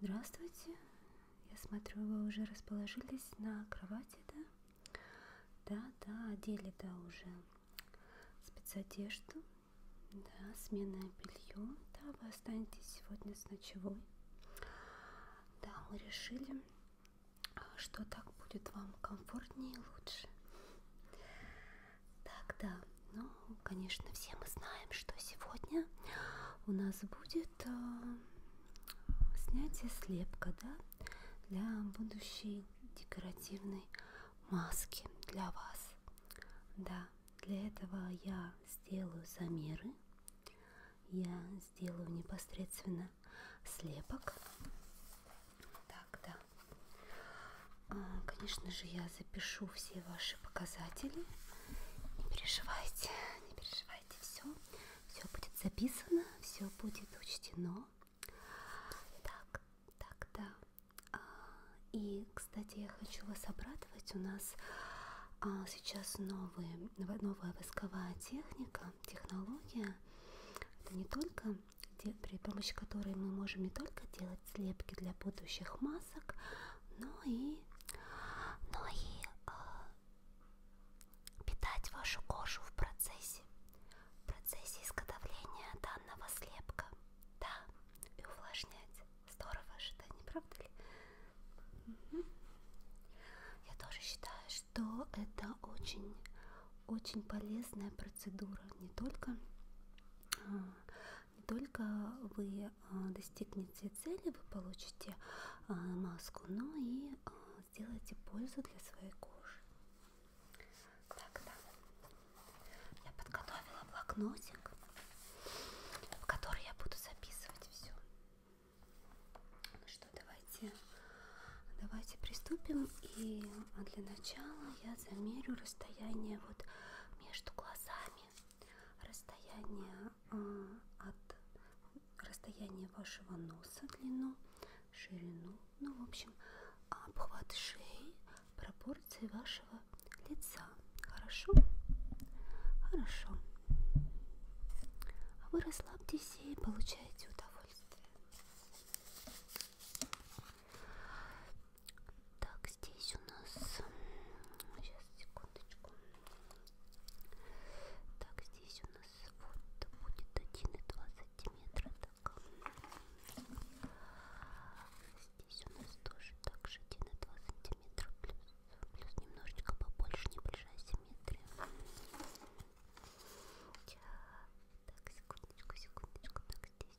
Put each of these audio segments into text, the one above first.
Здравствуйте. Я смотрю, вы уже расположились на кровати, да? Да, да, одели, да, уже спецодежду, да, сменное белье, да, вы останетесь сегодня с ночевой. Да, мы решили, что так будет вам комфортнее и лучше. Так, да, ну, конечно, все мы знаем, что сегодня у нас будет э, снятие слепка, да, для будущей декоративной маски для вас. Да, для этого я сделаю замеры, я сделаю непосредственно слепок. Так, да. А, конечно же, я запишу все ваши показатели. Не переживайте, не переживайте, все, все будет записано, все будет учтено. Так, так, да. А, и, кстати, я хочу вас обрадовать, у нас а, сейчас новые, новая восковая техника, технология. Это не только при помощи которой мы можем не только делать делать слепки для будущих масок, ну и, ну и э, питать вашу кожу в процессе, в процессе изготовления данного слепка, да, и увлажнять. Здорово же, да, не правда ли? Угу. Я тоже считаю, что это очень, очень полезная процедура, не только а, не только вы а, достигнете цели, вы получите а, маску, но и а, сделайте пользу для своей кожи. Так, да. Я подготовила блокнотик, в который я буду записывать все. Ну что, давайте, давайте приступим. И для начала я замерю расстояние вот между глазами расстояние а, от расстояние вашего носа, длину, ширину, ну, в общем, обхват шеи, пропорции вашего лица. Хорошо? Хорошо. А вы расслабьтесь и получаете удовольствие. Так, здесь у нас... Сейчас, секундочку. Так, здесь у нас вот будет 1,2 сантиметра. Так. Здесь у нас тоже так же 1,2 сантиметра. Плюс, плюс немножечко побольше, небольшая симметрия. Так, секундочку, секундочку. Так, здесь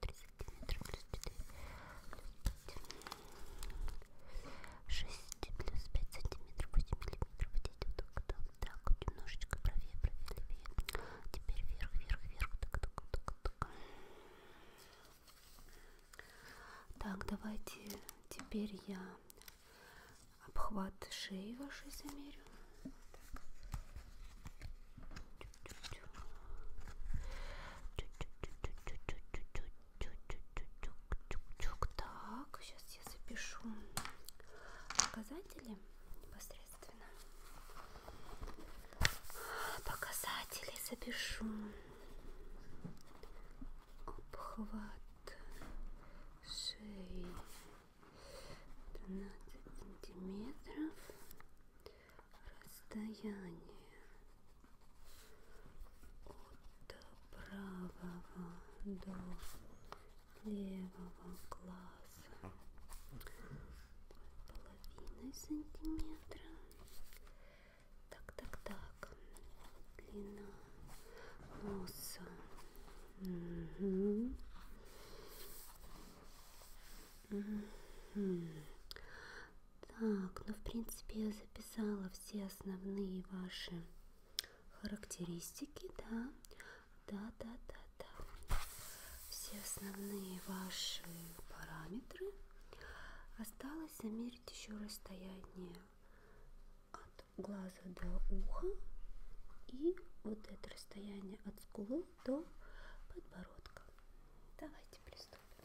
3 сантиметра плюс 4 плюс 5 6 плюс 5 сантиметров 8 миллиметров вот эти вот так, так, так немножечко правее, правее, левее теперь вверх, вверх, вверх так, так, так, так так, давайте теперь я обхват шеи вашей замерю так. Так, сейчас я запишу показатели непосредственно. Показатели запишу. Обхват шеи 12 сантиметров расстояние от правого до левого глаза половиной сантиметра так так так длина носа угу. Угу. Так, ну в принципе я записала все основные ваши характеристики, да, да, да, да, да. Все основные ваши параметры. Осталось замерить еще расстояние от глаза до уха и вот это расстояние от скулы до подбородка. Давайте приступим.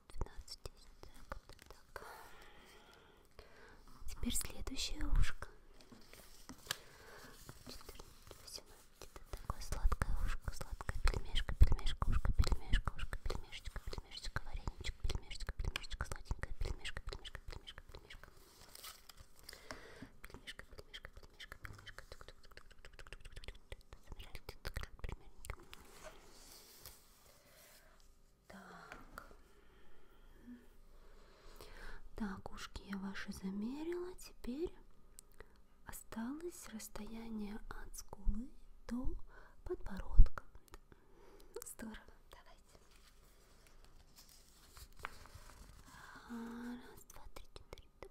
12 так, так. Теперь следующее ушко. 14, 18, это такое сладкое ушко, сладкое пельмешка, пельмешка, ушко, пельмешка, ушко, пельмешечка, пельмешечка, вареничек, пельмешечка, пельмешечка, сладенькая пельмешка, пельмешка, пельмешка, пельмешка. Пельмешка, пельмешка, пельмешка, пельмешка. Тук -тук -тук -тук -тук -тук -тук -тук -тук. Ты замираешь, ты так примерненько. Так. Так, ушки я ваши замерила. Теперь осталось расстояние от скулы до подбородка. Здорово, давайте. А, раз, два, три, четыре.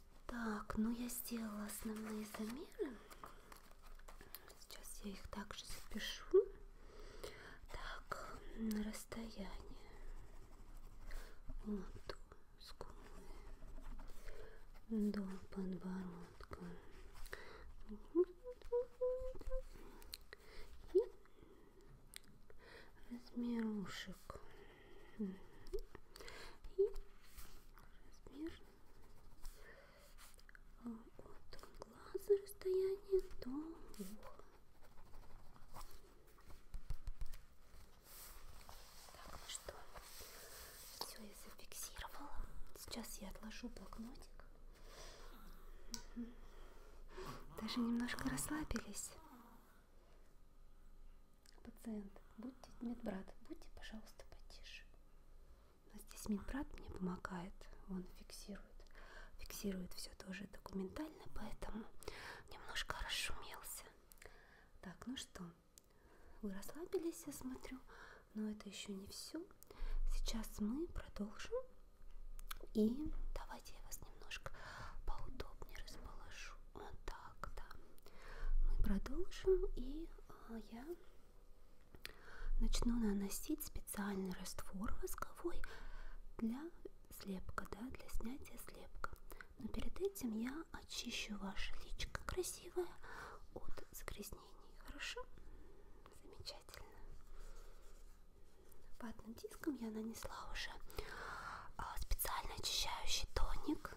Так, ну я сделала основные замеры. Сейчас я их также запишу. Так, на расстояние. Вот скулы до подбородка. И размер ушек. И размер от глаза расстояние до уха. Так, ну что, все я зафиксировала. Сейчас я отложу блокнотик. Даже немножко расслабились. Пациент, будьте медбрат, будьте, пожалуйста, потише. Но здесь Минбрат мне помогает, он фиксирует. Фиксирует все тоже документально, поэтому немножко расшумелся. Так, ну что, вы расслабились, я смотрю, но это еще не все. Сейчас мы продолжим. И давайте я вас немножко поудобнее расположу. Вот так, да. Мы продолжим и а я начну наносить специальный раствор восковой для слепка, да, для снятия слепка. Но перед этим я очищу ваше личко красивое от загрязнений. Хорошо? Замечательно. Ватным диском я нанесла уже а, специально очищающий тоник.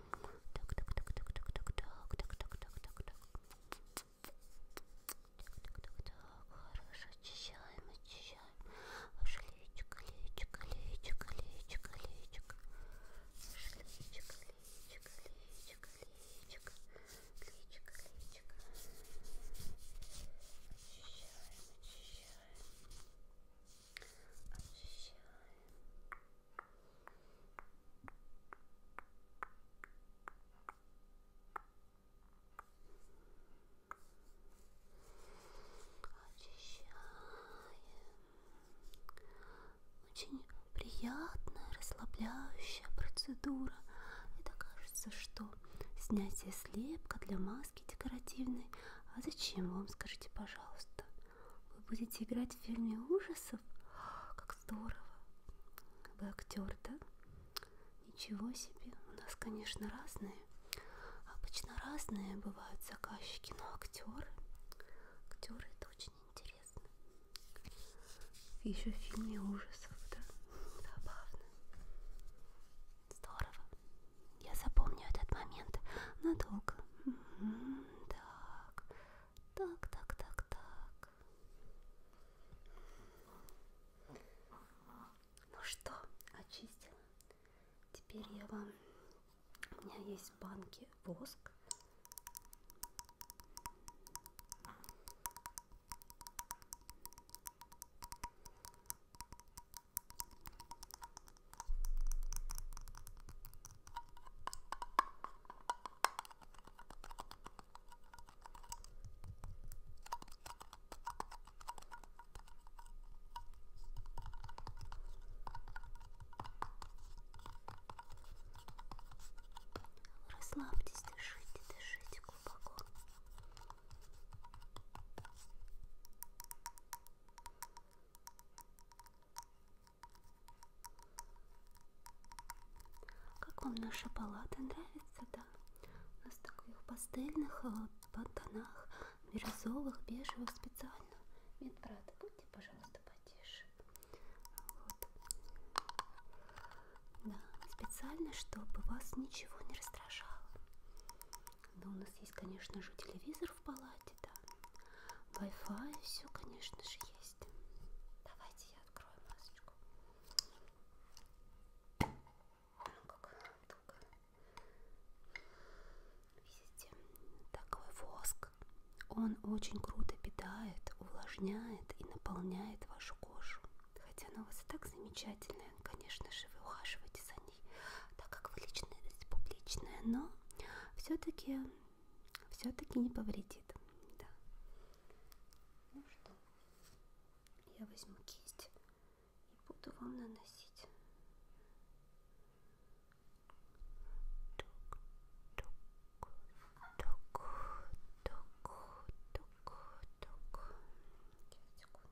хорошо очищаем, очищаем. Ваше личико, личико, личико, личико, личико. Ваше личико, личико, личико, личико, личико, личико. Очищаем, очищаем. Очищаем. Хорошо, Очищаем. Очень приятная, расслабляющая процедура. Это кажется, что снятие слепка для маски декоративной. А зачем вам, скажите, пожалуйста? Вы будете играть в фильме ужасов? Как здорово! Вы актер, да? Ничего себе! У нас, конечно, разные. Обычно разные бывают заказчики, но актеры. Актеры это очень интересно. Еще в фильме ужасов, да? Забавно. Здорово. Я запомню этот момент надолго. Так, так, так, так, так. Ну что, очистила. Теперь я вам... У меня есть в банке воск. Расслабьтесь, дышите, дышите глубоко. Как вам наши палаты нравятся, да? У нас таких пастельных по а, тонах, бирюзовых, бежевых специально. Медбрат, будьте, пожалуйста, потише. Вот. Да, специально, чтобы вас ничего не раздражало. Но у нас есть, конечно же, телевизор в палате сайте, да. Wi-Fi, все, конечно же, есть. Давайте я открою масочку. Видите, такой воск. Он очень круто питает, увлажняет и наполняет вашу кожу. Хотя она у вас и так замечательная, конечно же, вы ухаживаете за ней компаний, так как вы личность публичная, но все-таки все-таки не повредит. Да. Ну что, я возьму кисть и буду вам наносить. Сейчас, секундочку.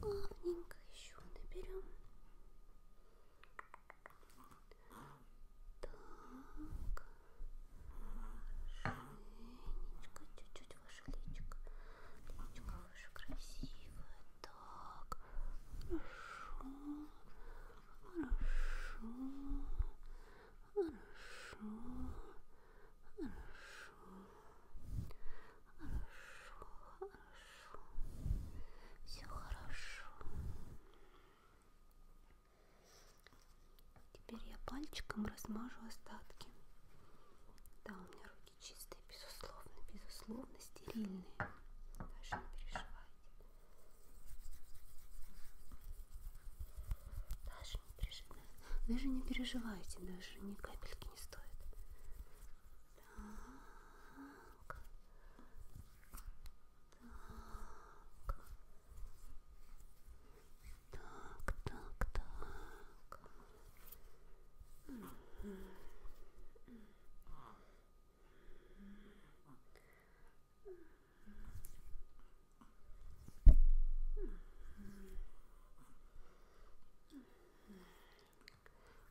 плавненько еще наберем. Так, хорошенечко, чуть-чуть выше личико, личико выше красивое, так, хорошо, хорошо, хорошо, хорошо, все хорошо. Теперь я пальчиком размажу остатки. Да, у меня руки чистые, безусловно, безусловно, стерильные. Даже не переживайте. Даже не переживайте, даже не переживайте, даже ни капельки не стоит. Так. Так. Так, так, так.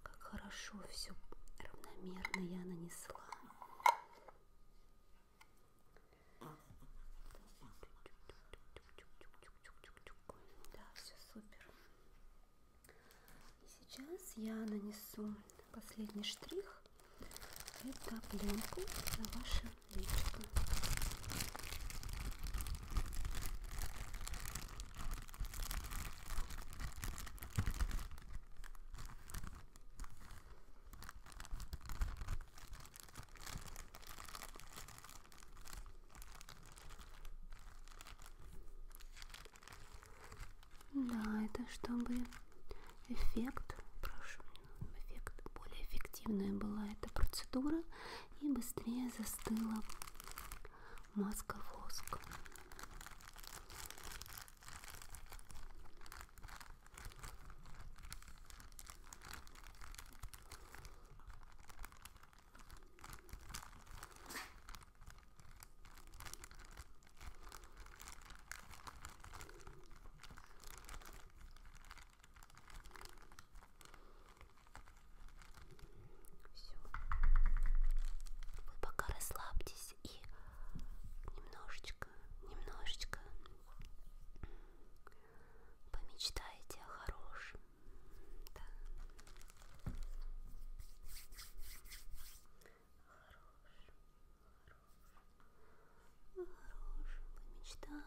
Как хорошо все равномерно я нанесла. Да, все супер. И сейчас я нанесу последний штрих. Это пленку на ваше личико. Да, это чтобы эффект, прошу, эффект более эффективная была эта процедура, и быстрее застыла маска воск. Все. Вы пока расслабьтесь и немножечко, немножечко помечтайте о хорошем. Да. О хорошем, о хорошем, о хорошем. Помечтайте,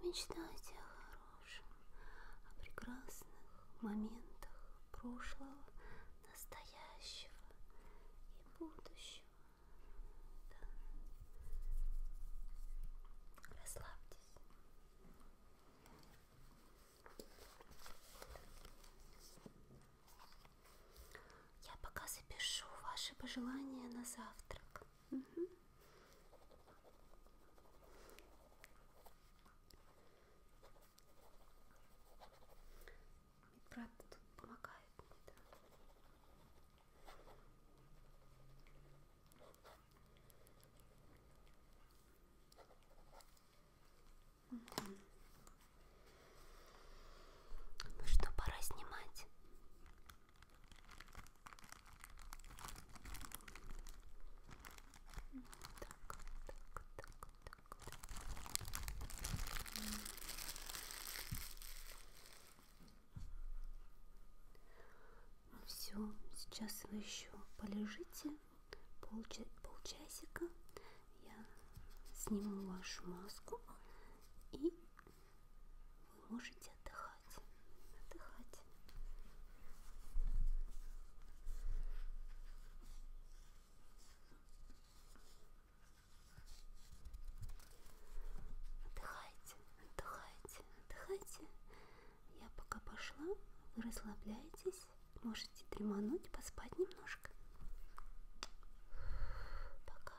помечтайте о хорошем о прекрасных моментах прошлого, настоящего и будущего. Да. Расслабьтесь. Я пока запишу ваши пожелания на завтрак. Угу. Медбрат тут помогает мне, да. Угу. Ну что, пора снимать. Так, так, так, так. Все, сейчас вы еще полежите полча полчасика. Я сниму вашу маску и можете отдыхать. Отдыхать. Отдыхайте, отдыхайте, отдыхайте. Я пока пошла, вы расслабляетесь, можете дремануть, поспать немножко. Пока.